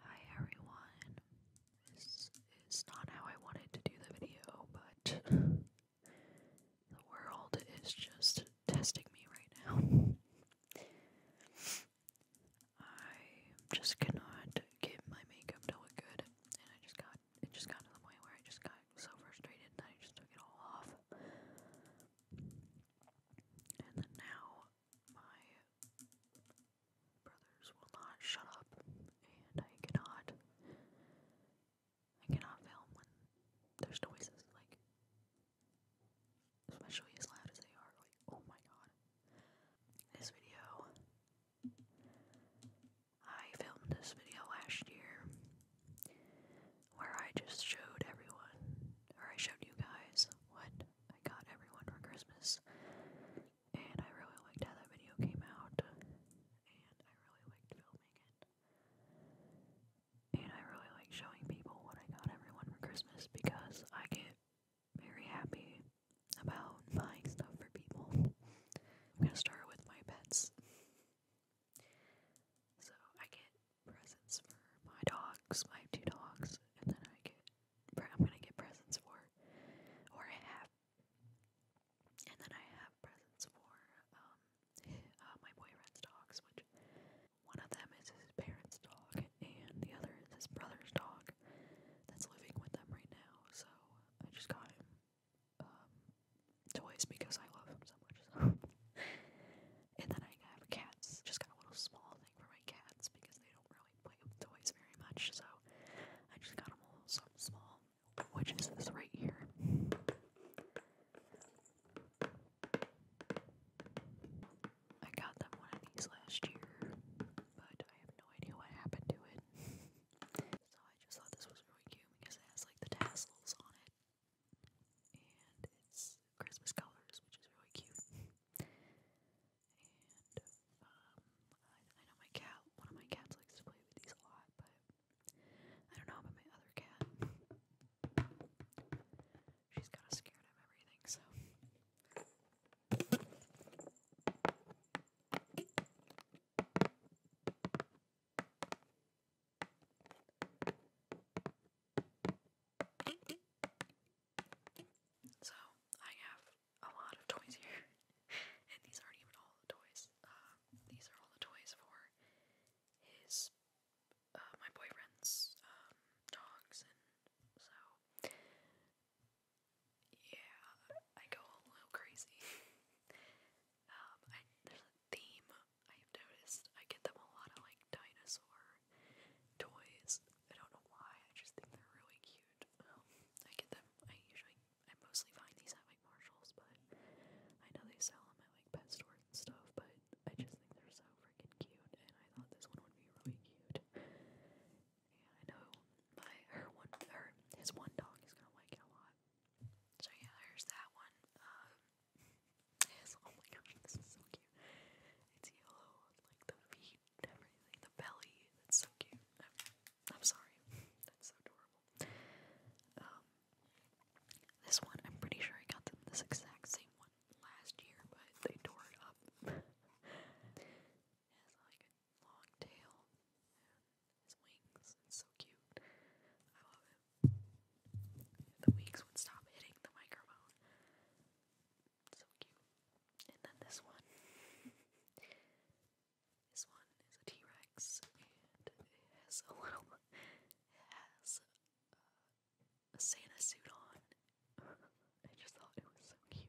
Hi everyone. This is not how I wanted to do the video, but the world is just testing me right now. I just cannot get my makeup to look good, and I just got it just got to the point where I just got so frustrated that I just took it all off. And now my brothers will not shut up, and I cannot, I cannot film when there's noises, like, especially as loud as they are, like, oh my god. This video, I filmed this video last year, where I just showed everyone, or I showed you guys, what I got everyone for Christmas. And I really liked how that video came out. And I really liked filming it. And I really like showing people what I got everyone for Christmas because I get very happy about buying stuff for people. I'm gonna start with my pets. So I get presents for my dogs, my two dogs, and then I get I'm gonna get presents for, or I have, and then I have presents for um uh, my boyfriend's dogs, which one of them is his parents' dog, and the other is his brother's dog that's living with them right now. So I just got him um, toys because I love him so much. So. and then I have cats. Just got a little small thing for my cats because they don't really play with toys very much, so I just got them all something small, which is this right here. I got them one of these last year, but I have no idea what happened to it. so I just thought this was really cute because it has like the tassels on it. And it's Christmas colors, which is really cute. And um, I, I know my cat, one of my cats likes to play with these a lot, but I don't know about my other cat. She's kind of scared of everything, so. So I have a lot of toys here, and these aren't even all the toys. Uh, these are all the toys for his, uh, my boyfriend's um, dogs, so yeah, I go a little crazy. Um, there's a theme I've noticed. I get them a lot of like dinosaur toys. I don't know why, I just think they're really cute. Um, I get them, I usually, I mostly find these at, like, Marshalls, but I know they sell them at, like, pet stores and stuff, but I just think they're so freaking cute, and I thought this one would be really cute. Yeah, I know my, her one, her, his one dog is gonna like it a lot. So yeah, there's that one. Um, his, oh my gosh, this is so cute. It's yellow, like the V everything. The belly, that's so cute. I'm, sorry, that's so adorable. Um, this one, I'm pretty sure I got them this exact same one last year, but they tore it up. it has like a long tail and his wings. It's so cute. I love it. the wings would stop hitting the microphone, so cute. And then this one. this one is a T-Rex and it has a little it has a Santa suit on. I just thought it was so cute.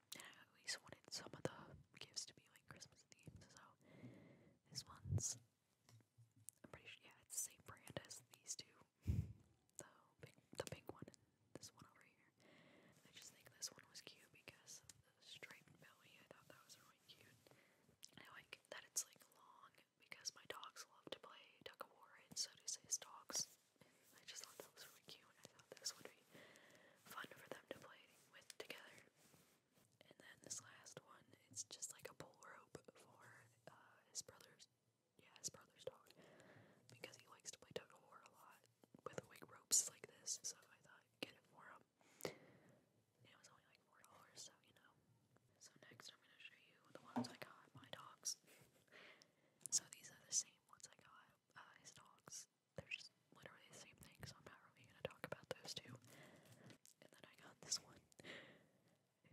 I always wanted some of the gifts to be like Christmas themed, so this one's I'm pretty sure yeah, it's the same brand as these two. The the pink one this one over here. I just think this one was cute because of the striped belly. I thought that was really cute. I like that it's like long because my dogs love to play tug of war and so does his dogs. And I just thought that was really cute. and I thought this would be fun for them to play with together. And then this last one, it's just like a pull rope for uh, his brother's, yeah, his brother's dog, because he likes to play tug of war a lot with wig ropes like this. So I thought, get it for him. And it was only like four dollars, so you know. So next, I'm gonna show you the ones I got my dogs. so these are the same ones I got uh, his dogs they're just literally the same thing, so I'm not really gonna talk about those two. And then I got this one.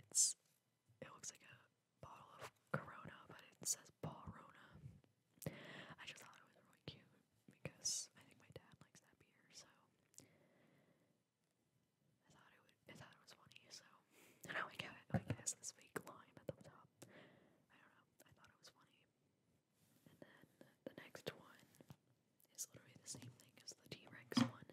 It's it looks like a bottle of Corona, but it says Ballrona. I just thought it was really cute because I think my dad likes that beer, so I thought it would I thought it was funny, so and now we got it. Like, this fake lime at the top. I don't know. I thought it was funny. And then the next one is literally the same thing as the T Rex one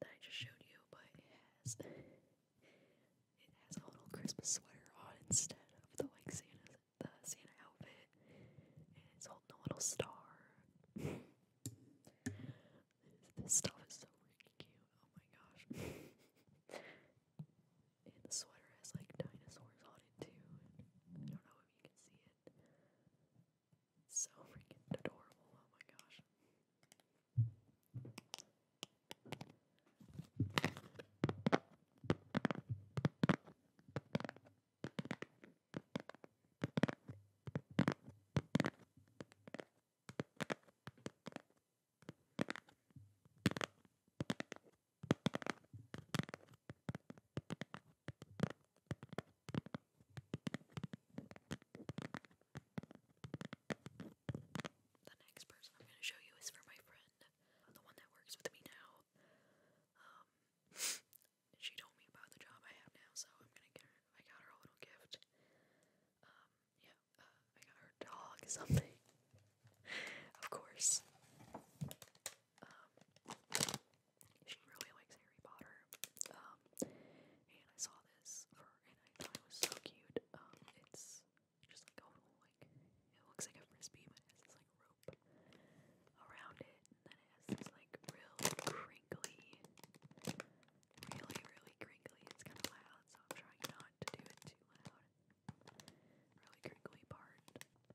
that I just showed you, but it has it has a little Christmas sweater on instead of the like Santa the Santa outfit. And it's holding a little star. this stuff is so freaking cute. Oh my gosh. and the sweater has like dinosaurs on it too. I don't know know if you can see it. So freaking adorable, oh my gosh. The next person I'm going to show you is for my friend, the one that works with me now. Um, she told me about the job I have now, so I'm gonna get I got her a little gift. Um, yeah, uh, I got her dog something, of course. Um, she really likes Harry Potter. Um, and I saw this for her and I thought it was so cute. Um, it's just like a little, like, it looks like a frisbee, but it has this, like, rope around it. And then it has this, like, real crinkly, really, really crinkly. It's kind of loud, so I'm trying not to do it too loud. Really crinkly part.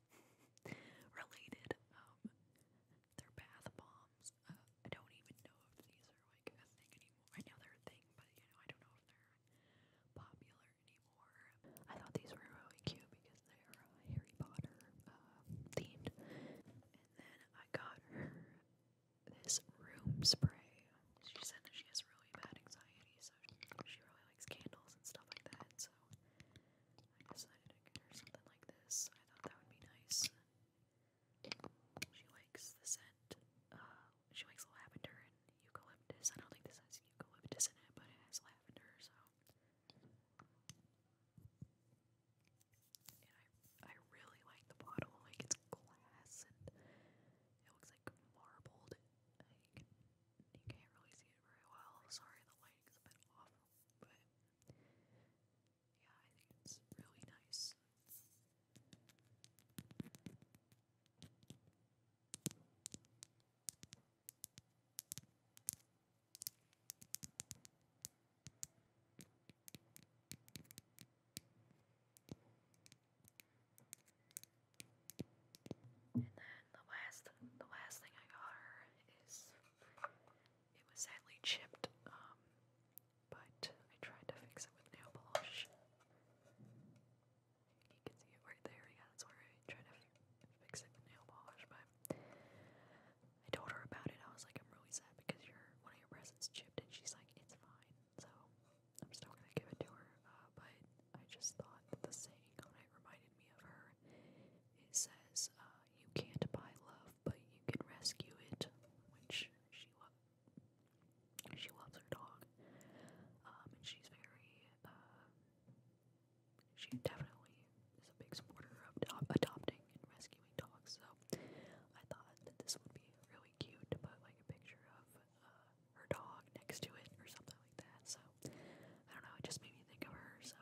related. Um, they bath bombs. Uh, I don't even know if these are like a thing anymore. I know they're a thing, but you know, I don't know if they're popular anymore. I thought these were really cute because they are Harry Potter um, themed. And then I got her this room spray. She said that she has really bad anxiety, so she really likes candles and stuff like that. So I decided to get something like this. I thought that would be nice. She likes the scent. Uh, she likes lavender and eucalyptus. I don't think this has eucalyptus in it, but it has lavender, so. I, I really like the bottle. Like, it's glass and it looks like marbled. Like, you can't really see it very well. Sorry, the lighting's a bit off but yeah, I think it's really nice. And then the last the last thing I got her is it was sadly chipped, um, but I tried to fix it with nail polish. You can see it right there, yeah, that's where I tried to fix it with nail polish, but I told her about it, I was like, I'm really sad because your one of your presents chipped, and she's like, it's fine, so I'm still gonna give it to her, uh, but I just thought the saying on it reminded me of her. It says, uh, you can't buy love, but you can rescue it, which she she loves her dog, um, and she's very, uh, she definitely is a big supporter of adopting and rescuing dogs, so I thought that this would be really cute to put, like, a picture of, uh, her dog next to it or something like that, so, I don't know, it just made me think of her, so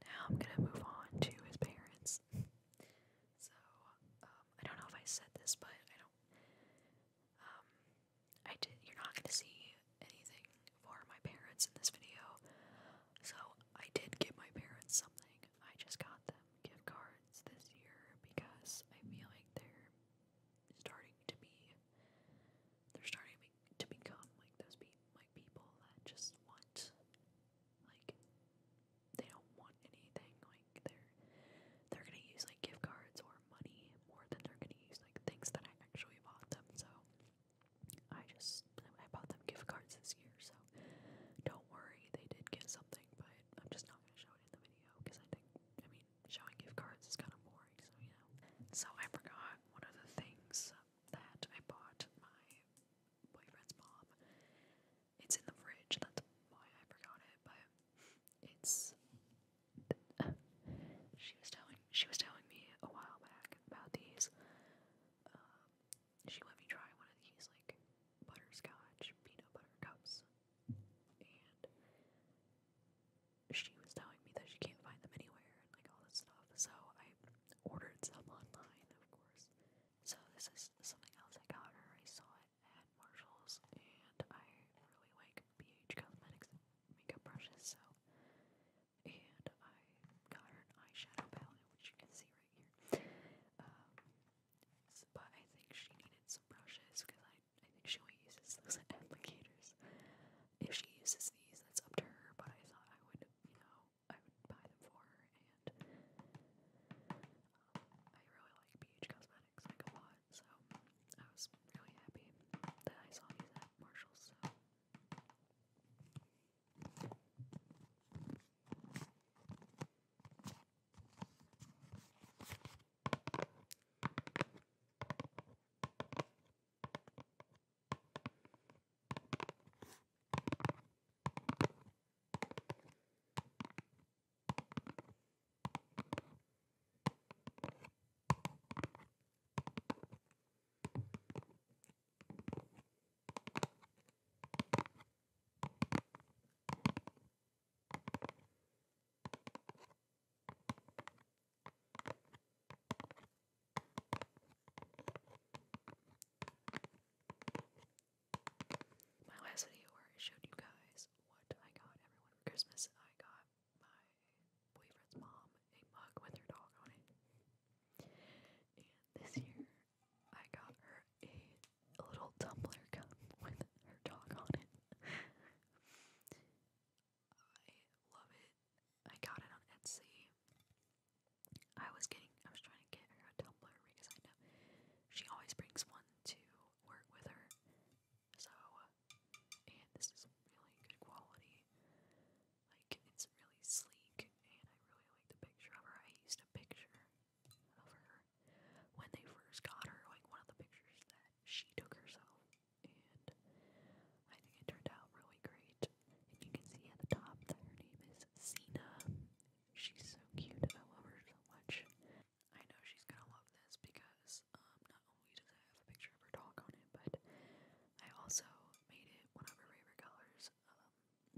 Now I'm gonna move on to his parents. so um, I don't know if I said this, but I don't. Um, I did. You're not gonna see anything for my parents in this video. So I did give my parents something. I just got them gift cards this year because I feel like they're starting to be. They're starting to, become like those be, like people that just want like they don't want anything. Like they're they're gonna use like gift cards or money more than they're gonna use like things that I actually bought them, so I just I bought them gift cards this year, so don't worry, they did get something, but I'm just not gonna show it in the video because I think I mean showing gift cards is kind of boring, so you know. So I forgot one of the things that I bought my boyfriend's mom. It's in the fridge, that's why I forgot it, but it's she was telling she was telling me a while back about these. Um, she let me try one of these like butterscotch peanut butter cups, and she was telling me that she can't find them anywhere and like all this stuff. So I ordered some online, of course. So this is something else I got her. I saw it at Marshalls, and I really like BH Cosmetics makeup brushes, so. And I got her an eyeshadow palette, which you can see right here. Um, but I think she needed some brushes because I, I think she only uses those applicators. If she uses these, that's up to her, but I thought I would, you know, I would buy them for her. And um, I really like BH Cosmetics, like a lot. So I was really happy that I saw these at Marshalls. My last video where I showed you guys what I got everyone for Christmas, I got my boyfriend's mom a mug with her dog on it. And this year I got her a little tumbler cup with her dog on it. I love it. I got it on Etsy. I was getting I was trying to get her a tumbler because I know she always brings one to work with her so, and this is really good quality. Like, it's really sleek, and I really like the picture of her. I used a picture of her when they first got her, like one of the pictures that she took herself, and I think it turned out really great. And you can see at the top that her name is Cena. She's so cute, I love her so much. I know she's gonna love this because um, not only does it have a picture of her dog on it, but I also made it one of her favorite colors.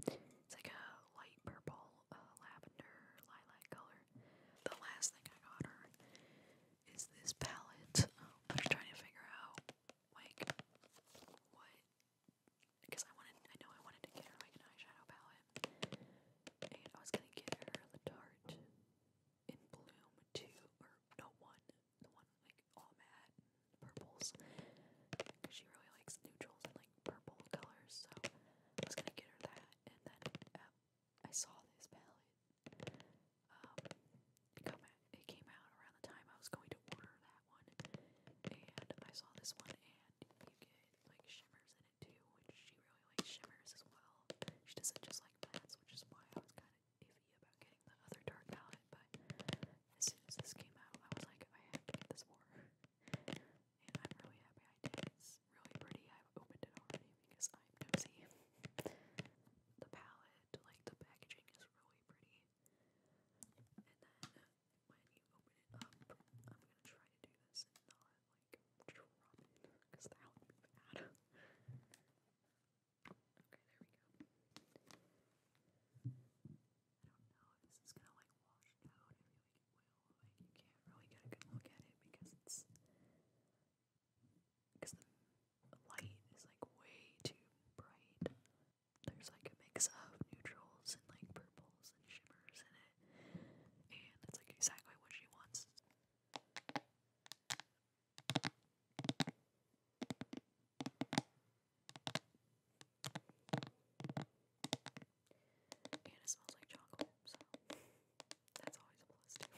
Um, it's like a light purple, uh, lavender, lilac color. The last thing I got her is this palette. Um, I'm trying to figure out like what because I wanted, I know I wanted to get her like an eyeshadow palette, and I was gonna get her the Tarte in Bloom two or no one the one like all matte purples she really likes neutrals and like purple colors. So I was gonna get her that, and then uh, I saw this palette. Um, it came out around the time I was going to order that one, and I saw this one, and you get like shimmers in it too, which she really likes shimmers as well. She doesn't just like mattes, which is why I was kind of iffy about getting the other dark palette, but as soon as this came out, I was like, I have to get this more. And i really happy I did. It's really pretty. I've opened it already because I'm nosy. the palette, like the packaging, is really pretty. And then when you open it up, I'm gonna try to do this and not like drop it because that would be bad. Okay, there we go. I don't know if this is gonna like wash it I feel like it will. Like you really good look at it because it's because the light is like way too bright. There's like a mix of neutrals and like purples and shimmers in it, and that's like exactly what she wants. And it smells like chocolate, so that's always a plus too.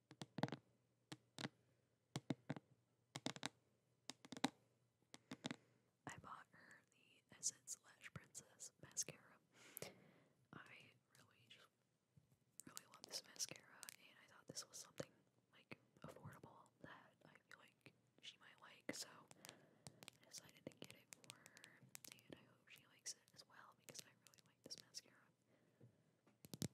I bought her the Essence Lash Princess mascara. I really really love this mascara and I thought this was something like affordable that I feel like she might like, so I decided to get it for her and I hope she likes it as well because I really like this mascara. The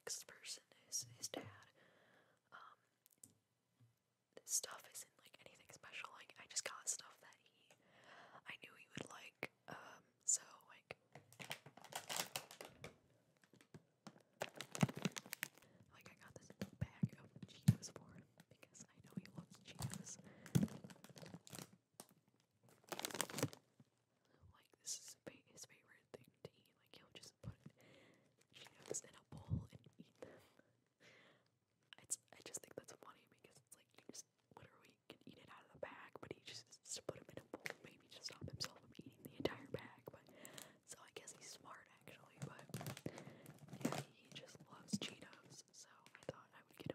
next person is his dad. Um, this stuff isn't like anything special. Like I just got stuff that he, I knew he would like. Um, so like, like I got this bag of Cheetos for because I know he loves cheese. Like this is his favorite thing to eat. Like he'll just put Cheetos in a bowl and eat them. It's I just think that's funny because it's like you just literally can eat it out of the bag, but he just, just put them in a bowl. Maybe to stop himself from eating the entire bag. But so I guess he's smart actually. But yeah, he just loves Cheetos. So I thought I would get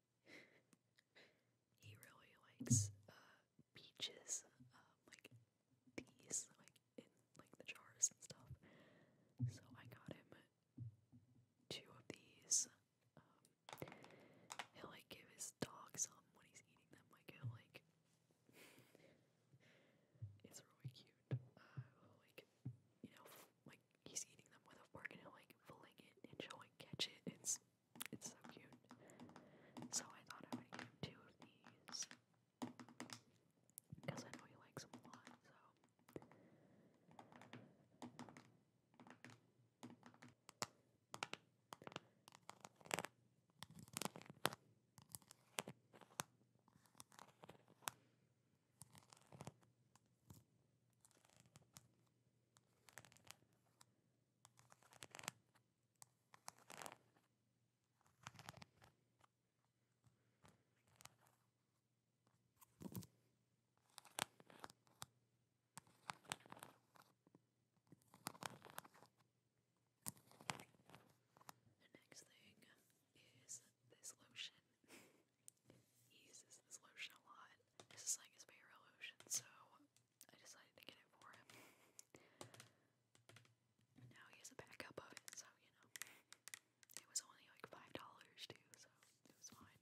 he really likes uh, peaches, uh, like these, like in like the jars and stuff. So I got him two of these. Um, he like give his some when he's eating them. Like he like. it's really cute. Uh, like you know, like he's eating them with a fork and he'll like fling it and she'll catch it. It's it's so cute. So I thought I would get two of these. Because I know he likes them a lot, so. The next thing is this lotion. uses this lotion a lot. This is like his favorite lotion, so I decided to get it for him. And now he has a backup of it, so you know. It was only like five dollars too, so it was fine.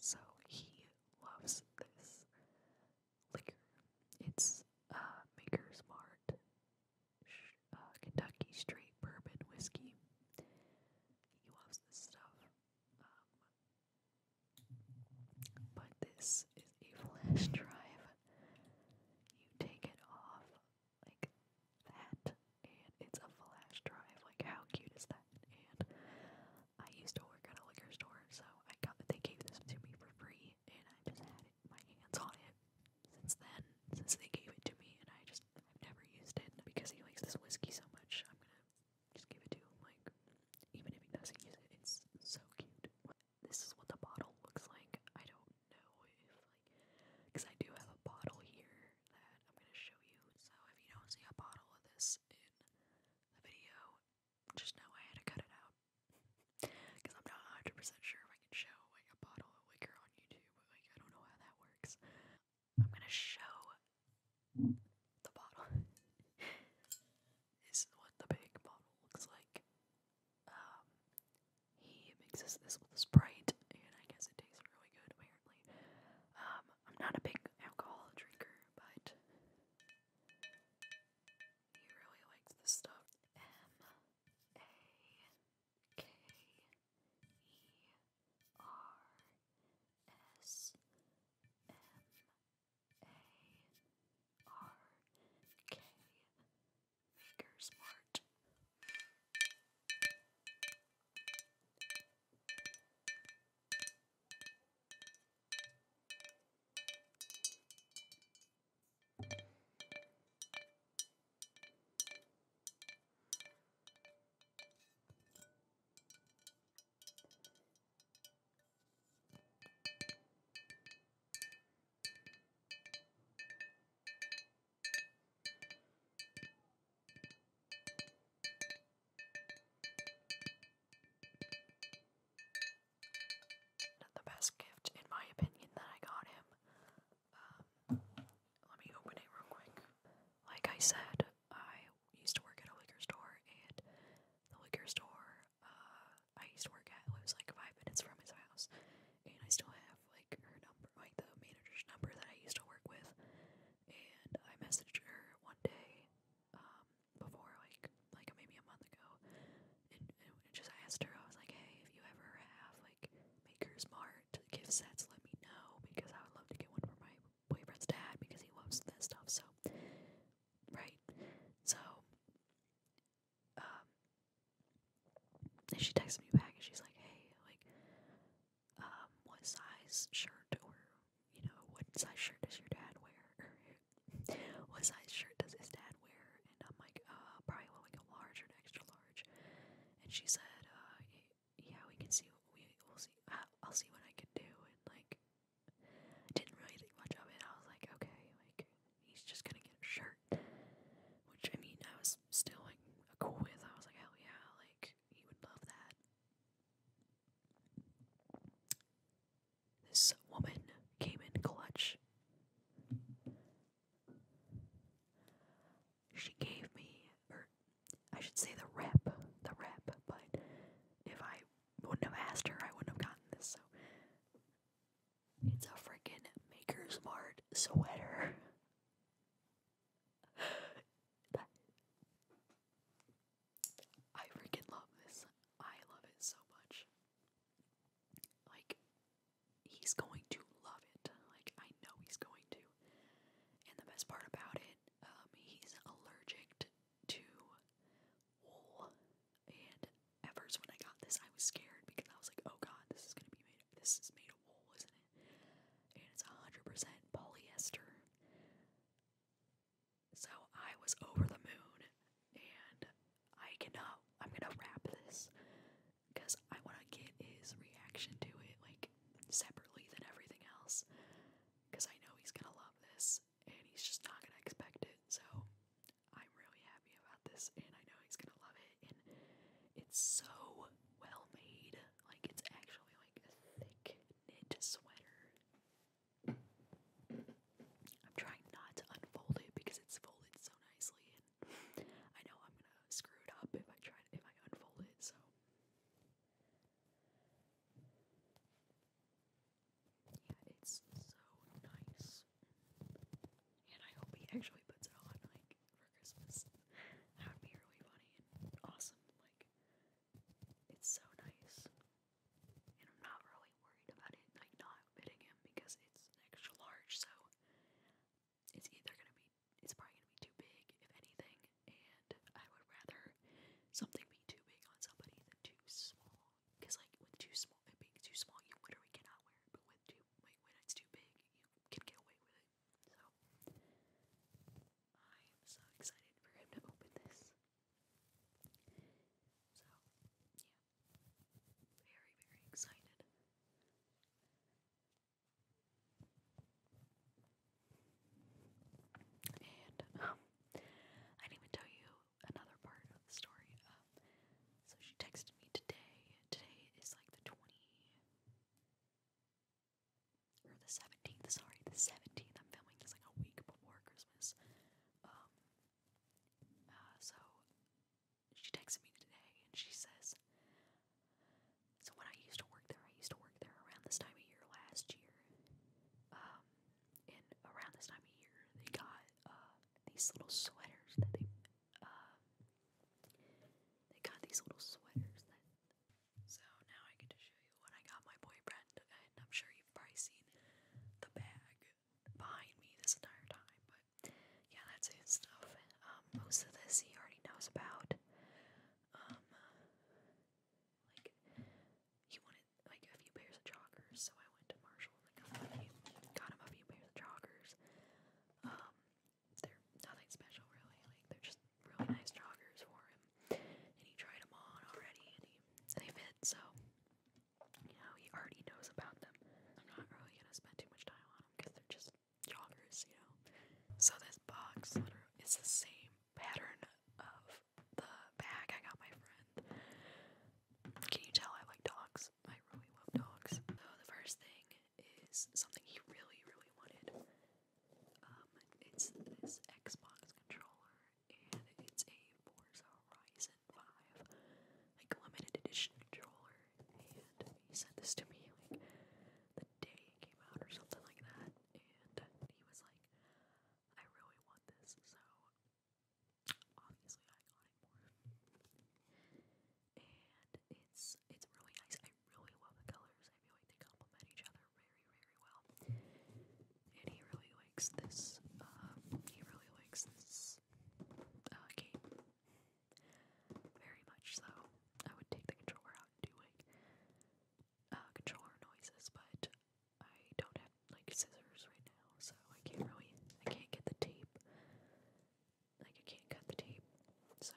So he loves this liquor. It's uh, Maker's Mart uh, Kentucky Straight Bourbon Whiskey. He loves this stuff. Um, but this is a flash drive. You take it off like that, and it's a flash drive. Like, how cute is that? And I used to work at a liquor store, so I got they gave this to me for free, and I just had my hands on it since then, since they gave it to me, and I just I've never used it because he likes this whiskey so much. Just give it to like, even if he doesn't use it, it's so cute. This is what the bottle looks like. I don't know if, like, because I do have a bottle here that I'm going to show you. So if you don't see a bottle of this in the video, just know I had to cut it out. Because I'm not 100% sure if I can show, a bottle of liquor on YouTube. Like, I don't know how that works. I'm going to show the bottle. this is what the big bottle looks like. Um, he mixes this with Sprite, and I guess it tastes really good, apparently. Um, I'm not a big alcohol drinker, but he really likes this stuff. M A K E R S M a-R-K Makersmart. Not the best gift, in my opinion, that I got him. Um, let me open it real quick. Like I said, I used to work at a liquor store, and the liquor store uh, I used to work at was like five minutes from his house, and I still have like her number, like the manager's number that I used to work with, and I messaged her one day um, before, like like maybe a month ago, and, and just asked her, I was like, hey, if you ever have like Maker's Mart gift sets, let me know because I would love to get one for my boyfriend's dad because he loves that stuff. So right? So, um, and she texts me back and she's like, hey, like, um, what size shirt or, you know, what size shirt does your dad wear? what size shirt does his dad wear? And I'm like, uh, probably like a large or extra large. And she said, uh, yeah, we can see, we, will see, I'll see what I can do. And like, I didn't really think much of it. I was like, okay, like he's just gonna get a shirt, which I mean, I was still like cool with. I was like, hell yeah, like he would love that. This woman came in clutch. She gave me, or I should say the rep, the rep, but if I wouldn't have asked her, I wouldn't have gotten this, so. It's a freaking Maker Smart sweater. I freaking love this. I love it so much. Like, he's going to love it. Like, I know he's going to. And the best part about it, um, he's allergic to wool. And at first when I got this I was scared because I was like, oh god, this is gonna be made this is made of wool, isn't it? And it's hundred percent polyester. So I was over the moon and I cannot I'm gonna wrap this because I wanna get his reaction to it like separately than everything else. Cause I know he's gonna love this and he's just not gonna expect it. So I'm really happy about this, and I know he's gonna love it. And it's so well made, like it's actually like a thick knit sweater. I'm trying not to unfold it because it's folded so nicely, and I know I'm gonna screw it up if I try to, if I unfold it. So yeah, it's so nice. And I hope he actually puts it on, like, for Christmas. That would be really funny and awesome. Like, it's so nice. And I'm not really worried about it, like, not fitting him because it's extra large, so it's either gonna be, it's probably gonna be too big, if anything. And I would rather something be too big on somebody than too small Cause like with too small, it being too small, you literally cannot wear it. But with too, when it's too big, you can get away with it. So I am so excited for him to open this. So yeah, very very excited. And um, I didn't even tell you another part of the story. Um, so she texted me today. Today is like the 20 or the 17th, sorry, the 17th. I'm filming this like a week before Christmas. Um, uh, so she texted me today and she says, So when I used to work there, I used to work there around this time of year last year. Um, and around this time of year, they got uh, these little sweaters that they uh, they got these little sweaters that. So now I get to show you what I got my boyfriend, and I'm sure you've probably seen the bag behind me this entire time. But yeah, that's his stuff. Um, most of this he already knows about. Um, like he wanted like a few pairs of joggers, so I went to Marshall and the company, got him a few pairs of joggers. Um, they're nothing special really, like they're just really nice joggers for him. And he tried them on already, and they fit, so you he already knows about them. I'm not really gonna spend too much time on them because they're just joggers, you know. So this box litter is the same pattern of the bag I got my friend. Can you tell I like dogs? I really love dogs. So the first thing is something he really, really wanted. Um, it's this Xbox controller, and it's a Forza Horizon 5, like limited edition controller. And he sent this to me like the day it came out or something like that, and he was like, "I really want this, so obviously I got it more. And it's it's really nice. I really love the colors. I feel like they complement each other very, very well. And he really likes this. Um, he really likes this uh, game very much. So I would take the controller out and do like uh, controller noises, but I don't have like scissors right now, so I can't really I can't get the tape. Like I can't cut the tape. So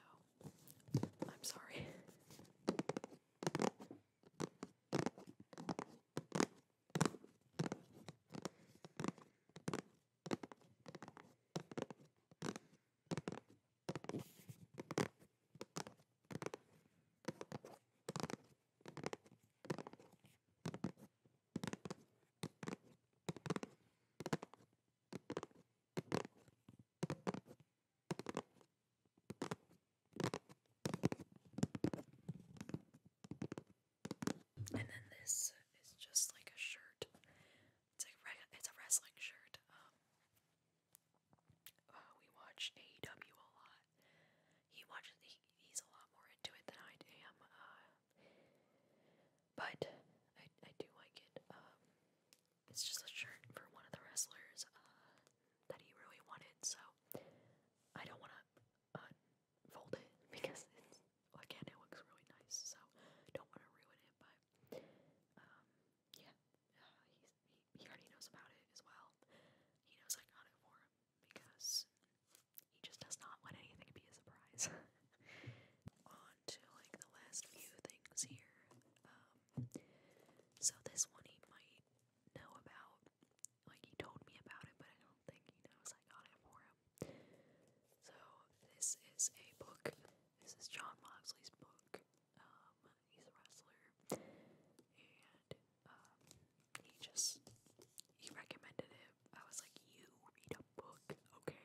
I'm sorry. And then this is just like a shirt. It's like it's a wrestling shirt. Um, uh, we watch AEW a lot, he watches. He, he's a lot more into it than I am. Uh, but I do like it. Um, it's just a shirt for one of the wrestlers uh, that he really wanted, so I don't want to unfold it because again it looks really nice. So don't want to ruin it, but um, yeah, uh, he he already knows about it as well. He knows I got it for him, because he just does not want anything to be a surprise. On to like the last few things here. Um, so this one he might know about. Like he told me about it, but I don't think he knows I got it for him. So this is a book. This is John Moxley's book. Um, he's a wrestler, um, he just he recommended it. I was like, you read a book, okay?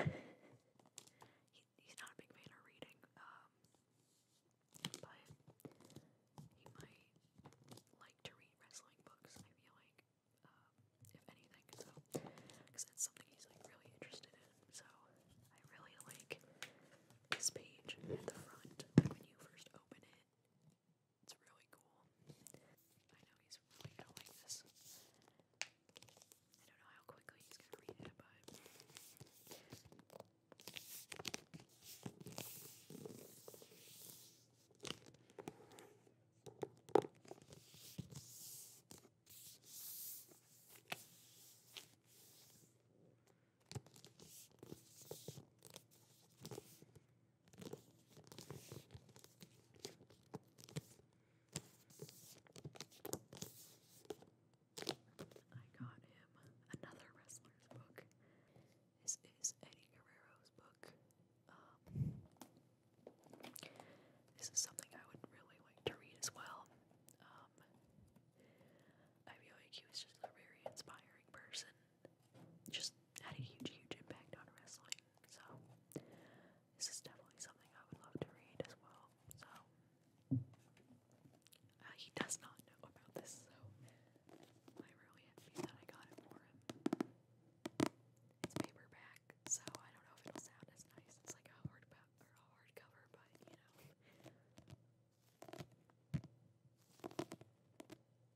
he's not a big fan of reading, um, but he might like to read wrestling books. I feel like, um, if anything, so because that's something he's like really interested in. So I really like this page at the front, when you first open it. It's really cool. I know he's really gonna like this. I don't know how quickly he's gonna read it, but. I got him another wrestler's book. This is Eddie Guerrero's book. Um, this is something I would really like to read as well. Um, I feel like he was just a very inspiring person just had a huge, huge impact on wrestling. So this is definitely something I would love to read as well. So uh, he does not know about this, so I really envy that I got it for him. It's paperback, so I don't know if it'll sound as nice. It's like a hard or a hardcover, but you know.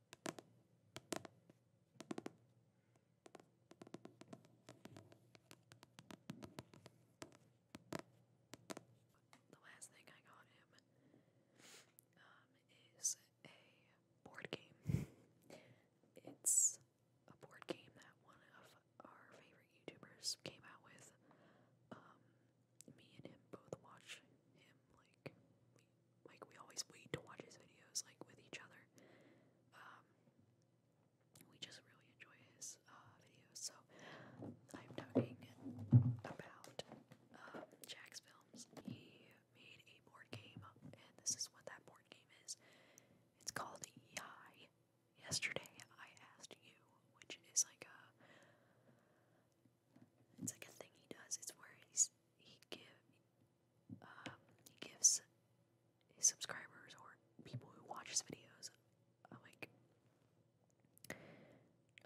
The last thing I got him um, is a board game. It's a board game that one of our favorite YouTubers came out with. Um, me and him both watch him like like we always wait to watch his videos like with each other. Um, we just really enjoy his uh, videos. So I'm talking about uh, Jack's films. He made a board game, and this is what that board game is. It's called Yesterday I asked you, which is like a it's like a thing he does. It's where he's he give um, he gives his subscribers or people who watch his videos like a,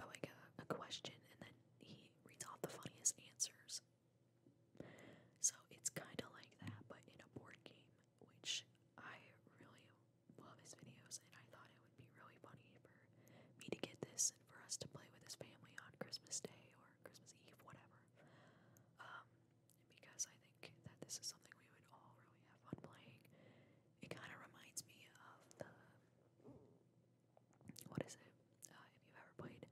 like a, a question, and then he reads off the funniest answers. So it's kind of like that, but in a board game, which I really love his videos, and I thought it would be really funny for me to get this and for us to play with his family on Christmas Day or Christmas Eve, whatever. Um, because I think that this is something we would all really have fun playing. It kind of reminds me of the what is it? Uh, if you've ever played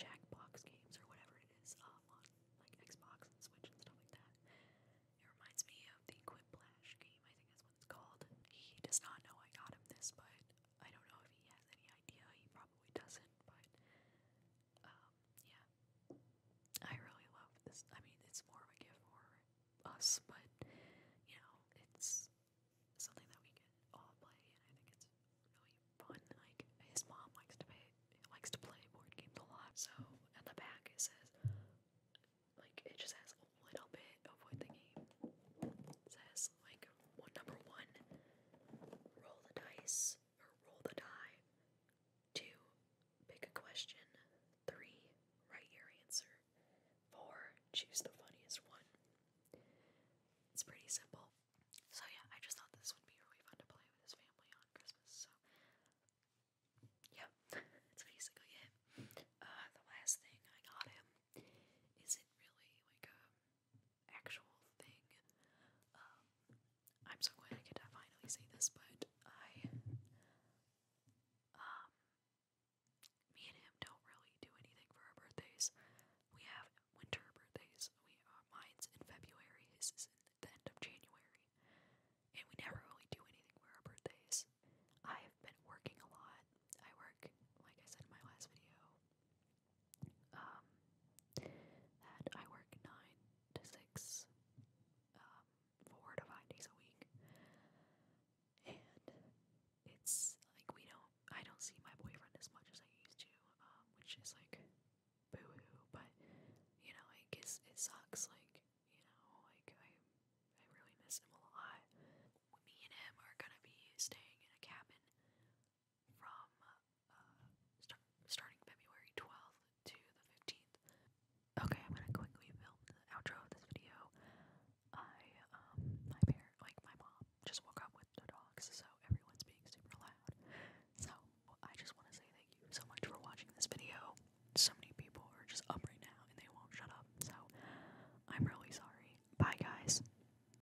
Jackbox games or whatever it is um, on like Xbox and Switch and stuff like that, it reminds me of the Quiplash game. I think that's what it's called. He does not know I got him this, but I don't know if he has any idea. He probably doesn't, but um, yeah. I really love this. I mean, it's more a gift for us, but you know, it's something that we can all play, and I think it's really fun. Like his mom likes to play, likes to play board games a lot. So at the back it says, like it just has a little bit of the game says like number one, roll the dice or roll the die. Two, pick a question. Three, write your answer. Four, choose the funniest one. It's pretty simple. So yeah, I just thought this would be really fun to play with his family on Christmas. So yeah, that's basically it. Uh, the last thing I got him isn't really like a actual thing. Um, I'm so glad I get to finally say this, but I, um, me and him don't really do anything for our birthdays. We have winter birthdays. We uh, mine's in February. His is in the end of January, and we never really do anything for our birthdays. I have been working a lot. I work, like I said in my last video, um, that I work nine to six, um, four to five days a week, and it's like we don't. I don't see my boyfriend as much as I used to, um, which is like boo-hoo. But you know, like it's, it sucks. Like you know, like I I really miss him a lot. Me and him are gonna be staying in a cabin from uh, starting February 12th to the 15th. Okay, I'm gonna quickly film the outro of this video. I, um, my parent, like my mom, just woke up with the dogs, so everyone's being super loud. So I just want to say thank you so much for watching this video. So many people are just up right now and they won't shut up. So I'm really sorry. Bye, guys.